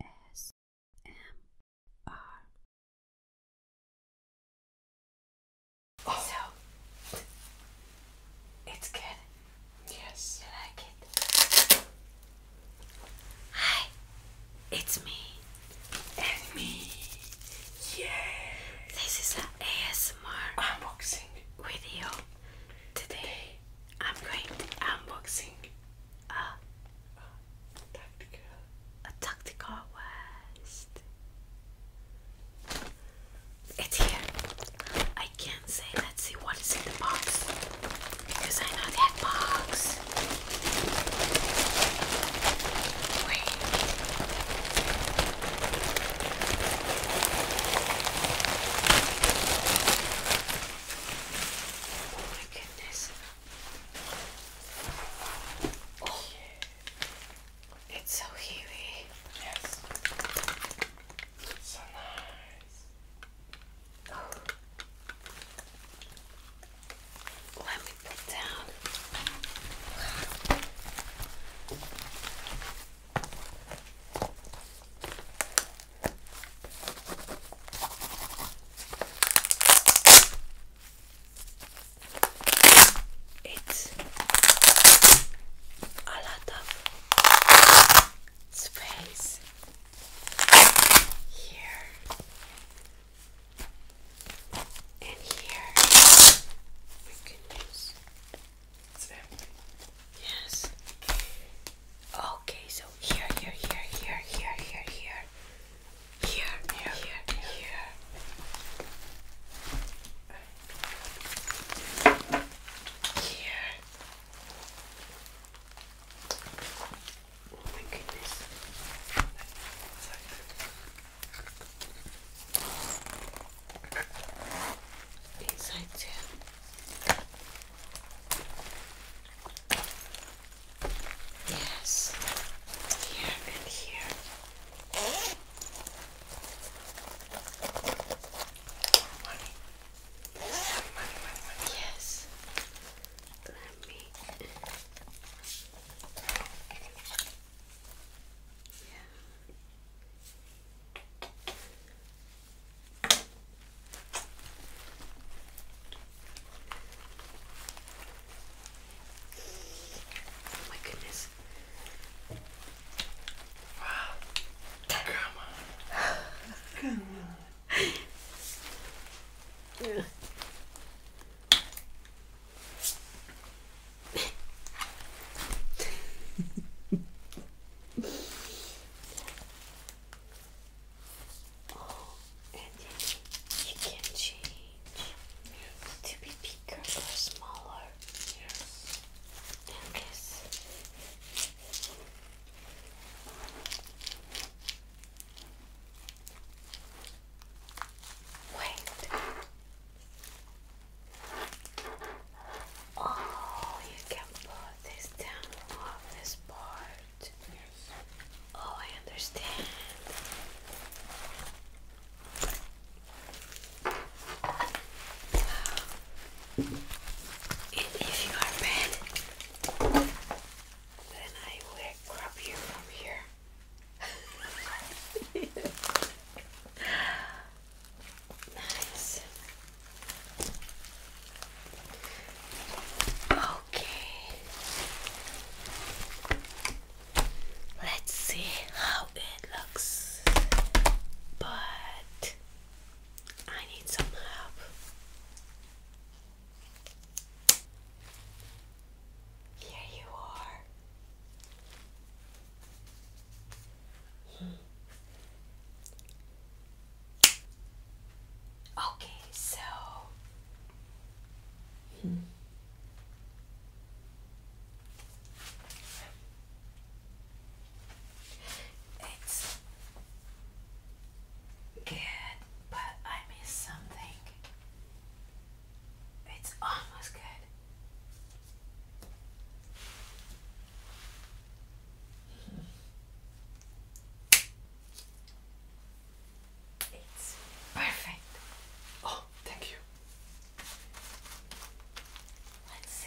ASMR. So it's good. Yes. You like it? Hi, it's me. And me. Yeah. This is an ASMR unboxing video today. I'm going to unboxing a, tactical a tactical West. It's here. I can't say. Let's see what is in the box because I know that box. Wait. Oh my goodness. Oh. It's so heavy. Yes. So nice. Oh. Let me put down. It's a lot of space here and here. We can use it's empty. Yes. Okay, so here, here, here, here, here, here, here. Here, here, here, here. Here. Oh my goodness. Inside too. Yes, here and here. Money. Money, money, money. Yes. Let me. Yeah. Oh my goodness. Wow. Come on. Come on. Oh, and you can change to be bigger or smaller. Yes. And this. Wait. Oh, you can put this down on this part. Oh, I understand. if you are bad, then I will grab you from here. Okay. Let's see how it looks. But I need some help. Here you are. Okay, so it's good, but I miss something. It's almost good. It's perfect. Oh, thank you. Let's see.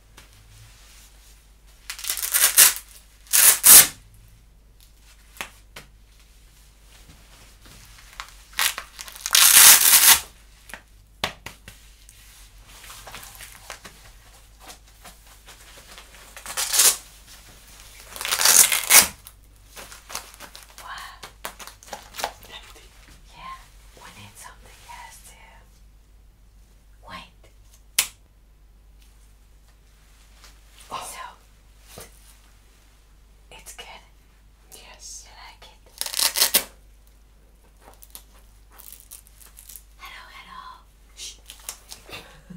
Wow. Empty. Yeah, we need something else too. Wait. Oh. So it's good. Yes. You like it? Hello, hello. Shh.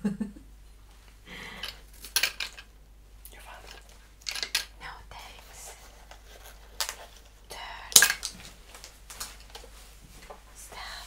You're fine. No thanks. Turn. Stop.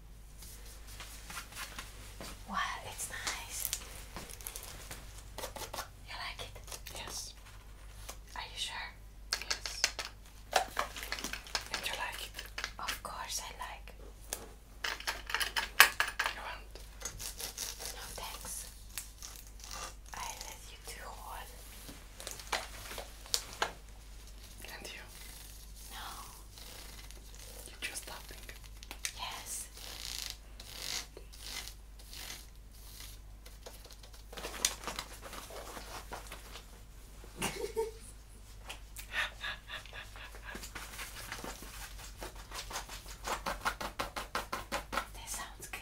Wow, it's nice. You like it? Yes. Are you sure? Yes. And you like it? Of course I like. You want? No thanks. I let you do all. And you? No. You choose that pink. Yes. that sounds good.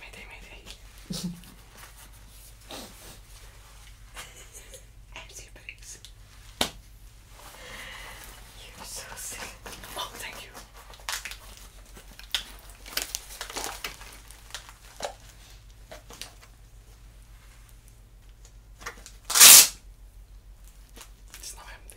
Mayday, mayday. Empty You're so silly. Oh, thank you. It's not empty.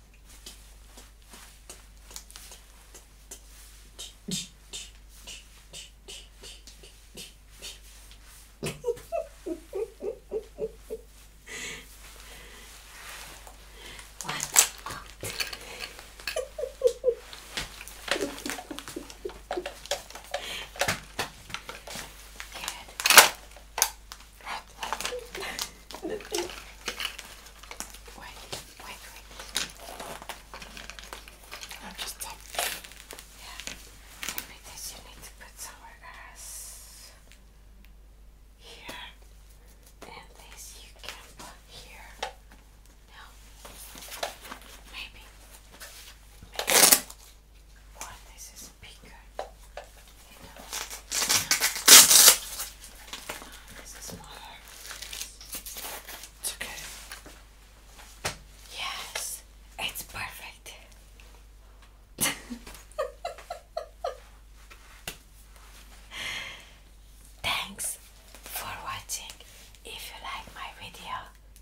What's up? Good wait, wait, wait. I'm just tapping. Yeah. Maybe this you need to put somewhere else. Here. And this you can put here. No. Maybe. Maybe. Or this is bigger. Yes, it's perfect. Thanks for watching. If you like my video,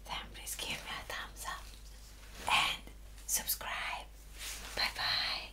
then please give me a thumbs up and subscribe. Bye bye.